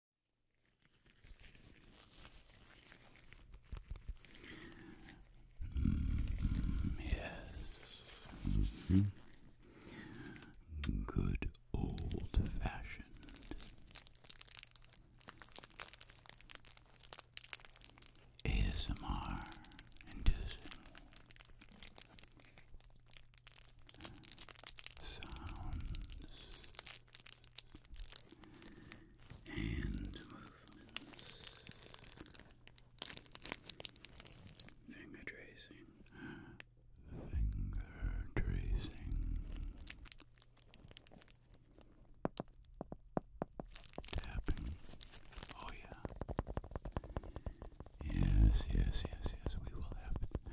Mm, mm-hmm. yes. Good old fashioned. ASMR inducing sounds hand movements, finger tracing, finger tracing, tapping. Oh yeah. Yes, yes, yes, yes. We will have it.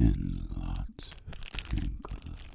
and lots of crinkles.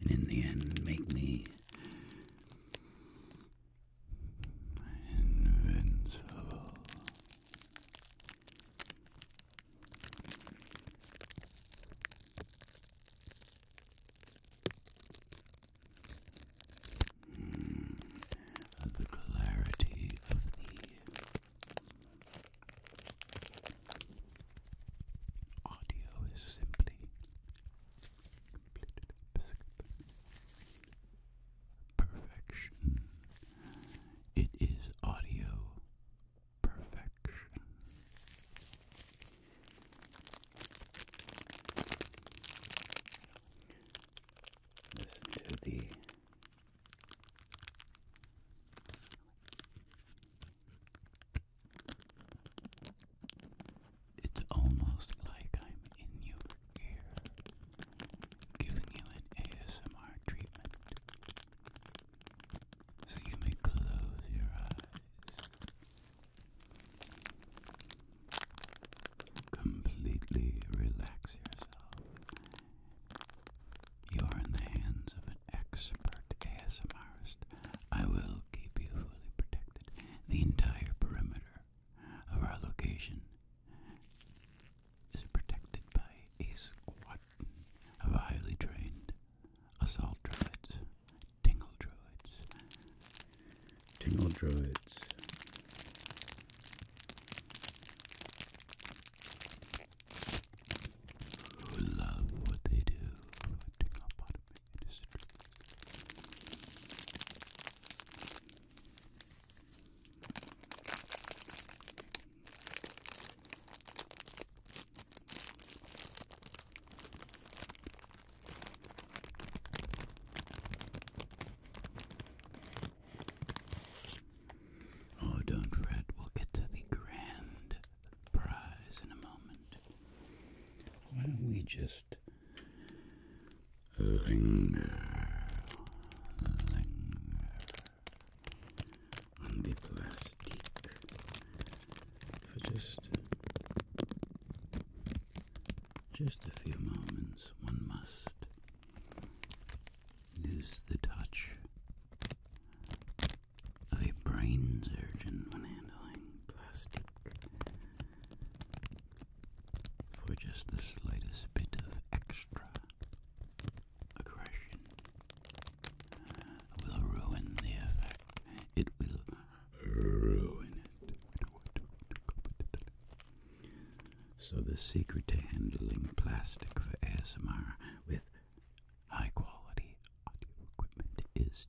and in the end make me invincible. Hmm. the clarity of the Audio is simply complete perfection. It is audio perfection. Listen to the it's almost like I'm in your ear, giving you an ASMR treatment. So you may close your eyes. Completely relax yourself. You are in the hands of an expert ASMRist I will keep you fully protected. The entire perimeter of our location is protected by a squad of highly trained assault droids, tingle droids, tingle droids who love what they do Oh, don't fret, we'll get to the grand prize in a moment. Why don't we just linger, linger on the plastic for just just a few moments? One must lose the touch of a brain surgeon when handling plastic. For just the slightest bit of extra aggression uh, will ruin the effect. It will ruin it. So, the secret to handling plastic for ASMR with high quality audio equipment is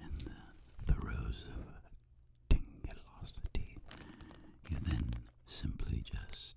in the throes of tingulosity, you then simply just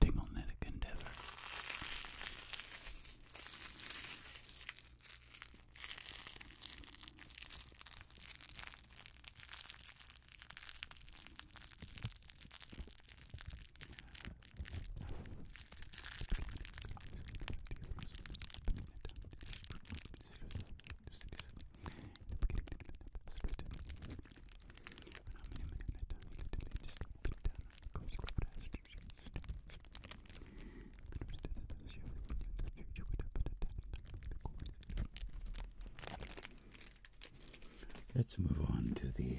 Tinglenetic endeavor. Let's move on to the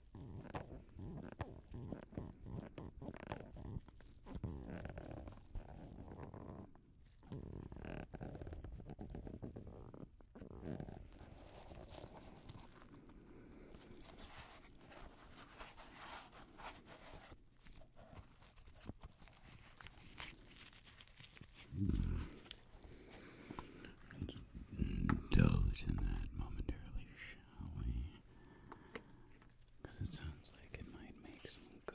Doze in that momentarily, shall we? it sounds like it might make some good.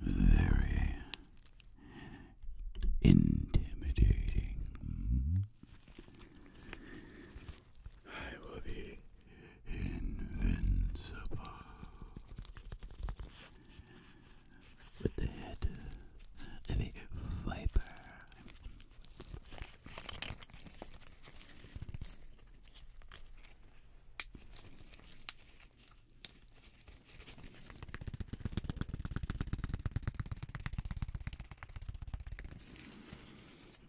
Very intimidating. I will be invincible. With the head of a viper.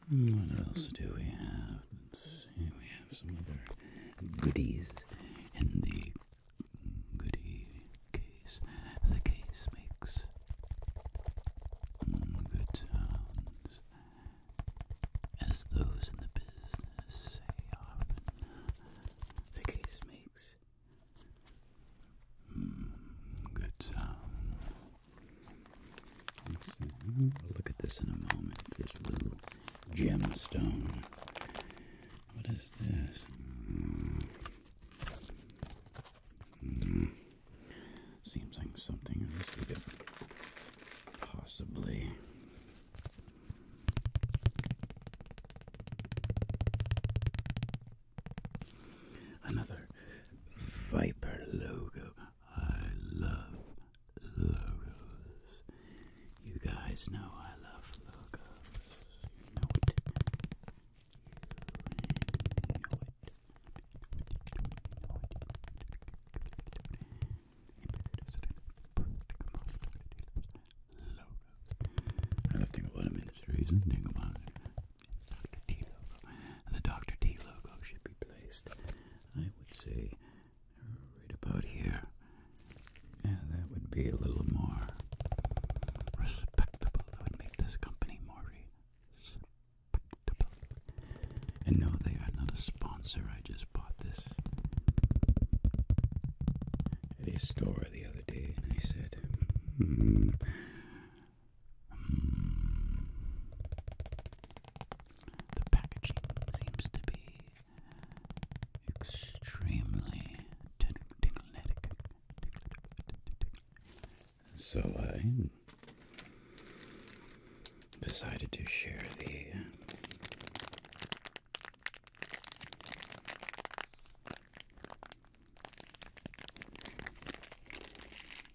What else do we have? we have some other goodies in the goodie case. The case makes good sounds, as those in the business say The case makes good sounds look at this in a moment. This little gemstone. What is this? Seems like something possibly. Another Viper logo. I love logos. You guys know I love logos. You know it. I don't think about them in reason. Think about it. The Dr. T logo should be placed, I would say, right about here. Yeah, that would be a little more respectable. That would make this company more respectable. And no, they are not a sponsor. I just bought this at a store the other day, and I said, hmm, the packaging seems to be extremely tingletic. So I decided to share the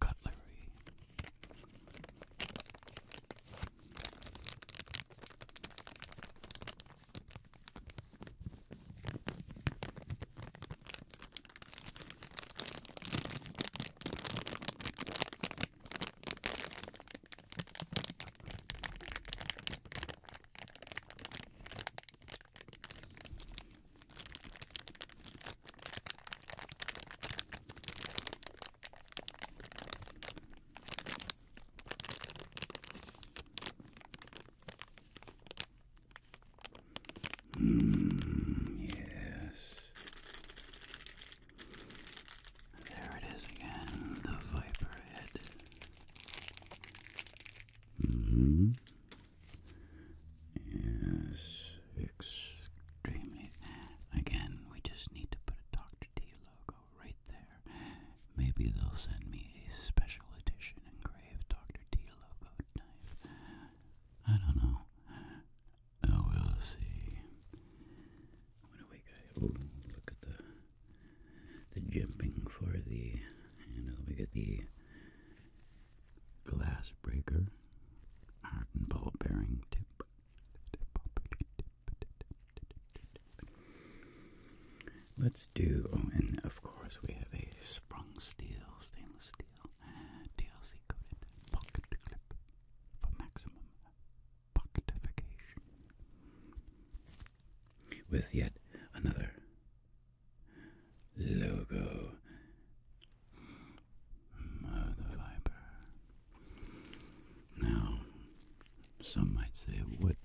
cutlery. Mm, yes. There it is again, the viper head. -hmm is extremely. Again, we just need to put a Dr. T logo right there. Maybe they'll send me a special edition engraved Dr. T logo knife. I don't know. Oh, will see. What do we Oh, look at the the jimping for the. And we get the glass breaker, heart and ball bearing tip. Let's do, oh, and of course we have a sprung steel, stainless steel, DLC coated pocket clip for maximum pocketification. With yet another logo the fiber. Now, some might say, what,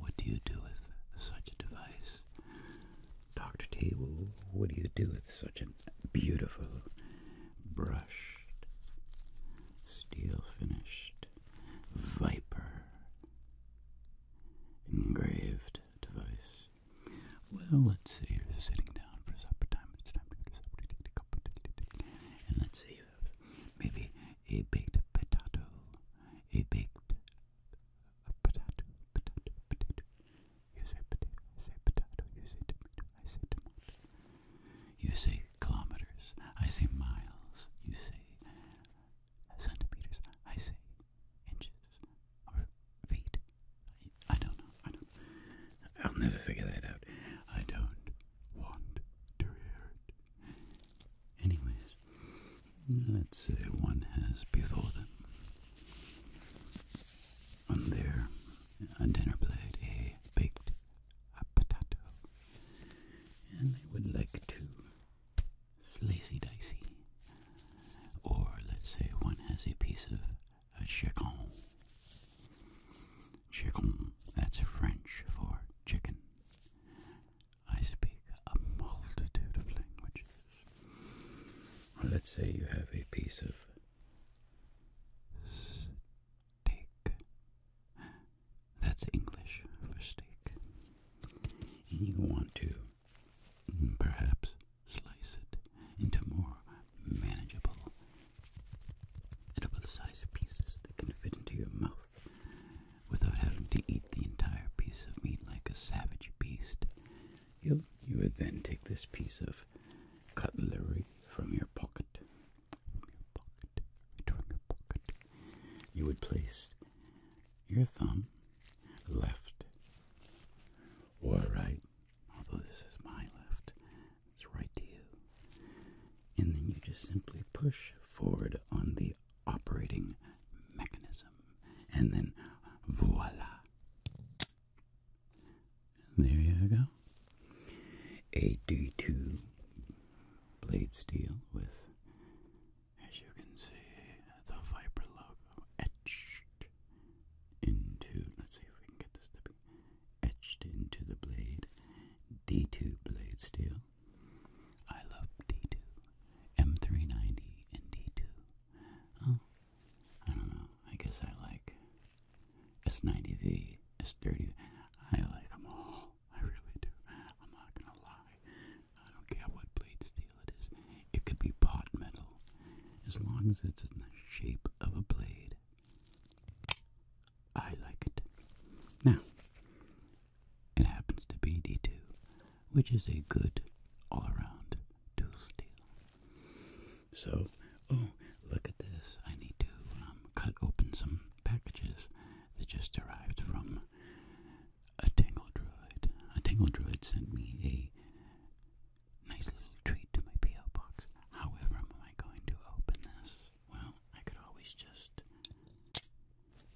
what do you do with such a device? Dr. Table? what do you do with such a beautiful, brushed, steel-finished Viper engraved device? Well, let's see. You're sitting down for supper time. It's time for supper. Take and let's see. Maybe a baked potato. A baked a potato. Potato. Potato. You say potato. I say potato. You say tomato. I say tomato. You say kilometers. I say miles. You say centimeters. I say inches or feet. I, don't know. I don't. I'll never figure that out. I don't want to hear it. Anyways, let's say one has before them on their on dinner plate a baked potato, and they would like to slicy dicey. Or let's say one has a piece of a chicken. Chicken, that's French for chicken. I speak a multitude of languages. Let's say you have a piece of steak. That's English for steak. And you want to mm, perhaps slice it into more manageable, edible-sized pieces that can fit into your mouth without having to eat the entire piece of meat like a savage beast. You you would then take this piece of cutlery from your pocket, from your pocket, right from your pocket. You would place your thumb left or right although this is my left, it's right to you. And then you just simply push forward on the operating mechanism. And then voila. There you go. A D2 blade steel with, as you can see, the Viper logo etched into. Let's see if we can get this to be etched into the blade, D2 blade steel. I love D2, M390 and D2. I don't know. I guess I like S90V, S30. I like them all. I really do. I'm not gonna lie. I don't care what blade steel it is. It could be pot metal, as long as it's in the shape of a blade. I like it. Now, it happens to be D2, which is a good all around tool steel. So, oh, look at this. I need to um, cut open some packages that just arrived from a Tangle Droid. A Tangle Droid sent me a. Nice little treat to my P.O. box. However, am I going to open this? Well, I could always just.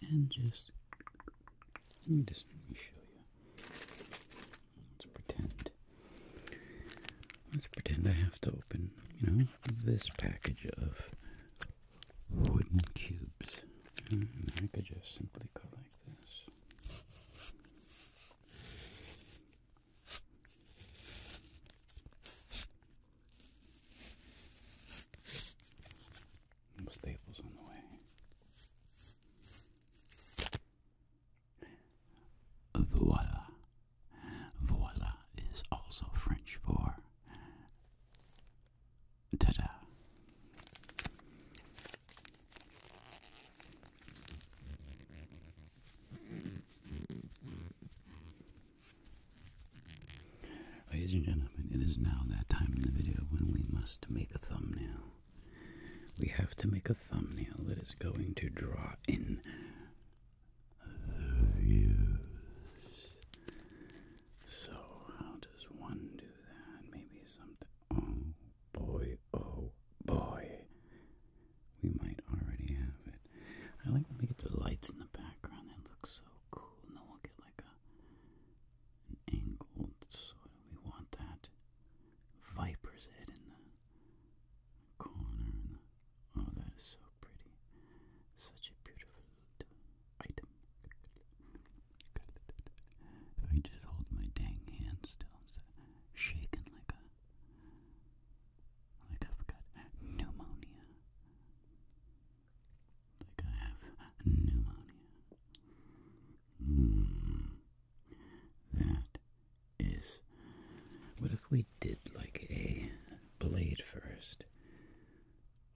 And just. Let me just let me show you. Let's pretend. Let's pretend I have to open, you know, this package of wooden cubes. I could just simply go like this. Staples on the way. Voila. Voila is also French for ta da. Ladies and gentlemen, it is now that time in the video when we must make a thumbnail. We have to make a thumbnail that is going to draw in views. So, how does one do that? Maybe something. Oh boy, oh boy we might already have it. I like when we get the lights in the background. That looks so cool. And we'll get like a an angled sort of. We want that viper's head in the corner. oh, that is so pretty. Such a beautiful item. If I just hold my dang hand still, it's shaking like a like I've got pneumonia. Like I have pneumonia. Mm. That is. What if we did like a blade first?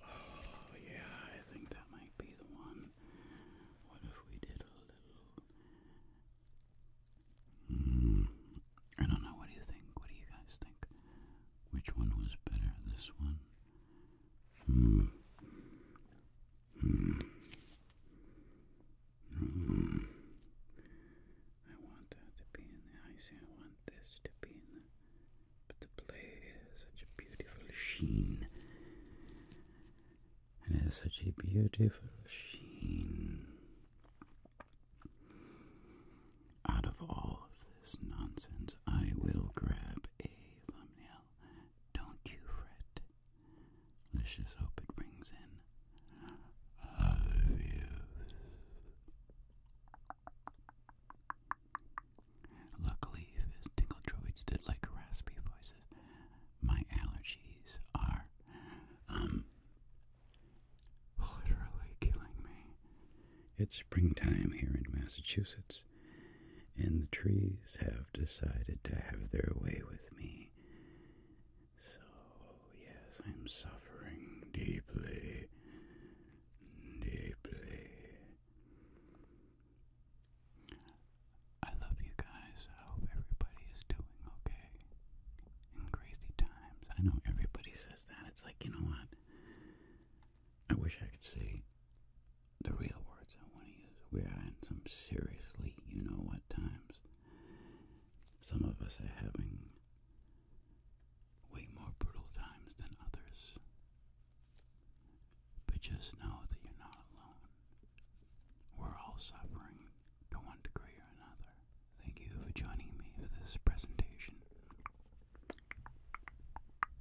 Oh, yeah, I think that might be the one. What if we did a little Mm, I don't know. What do you think? What do you guys think? Which one was better? This one? Hmm. Hmm. Hmm. I want that to be in the I want this to be But the play has such a beautiful sheen. It has such a beautiful sheen. Out of all of this nonsense, I will grab a thumbnail. Don't you fret. Let's just hope it brings in other views. Luckily, if tinkle droids did like raspy voices, my allergies are, um, literally killing me. It's springtime here in Massachusetts, and the trees have decided to have their way with me. So, yes, I'm suffering deeply, deeply. I love you guys. I hope everybody is doing okay and crazy times. I know everybody says that. It's like, you know what? I wish I could say the real words I want to use. We are in some seriously, you know what times. Some of us are having way more brutal times than others. But just know that you're not alone. We're all suffering to one degree or another. Thank you for joining me for this presentation.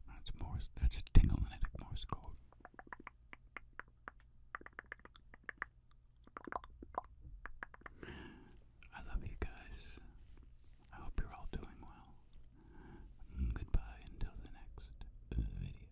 That's Morse. That's tinglinatic Morse code. I love you guys. I hope you're all doing well. Mm, goodbye until the next video.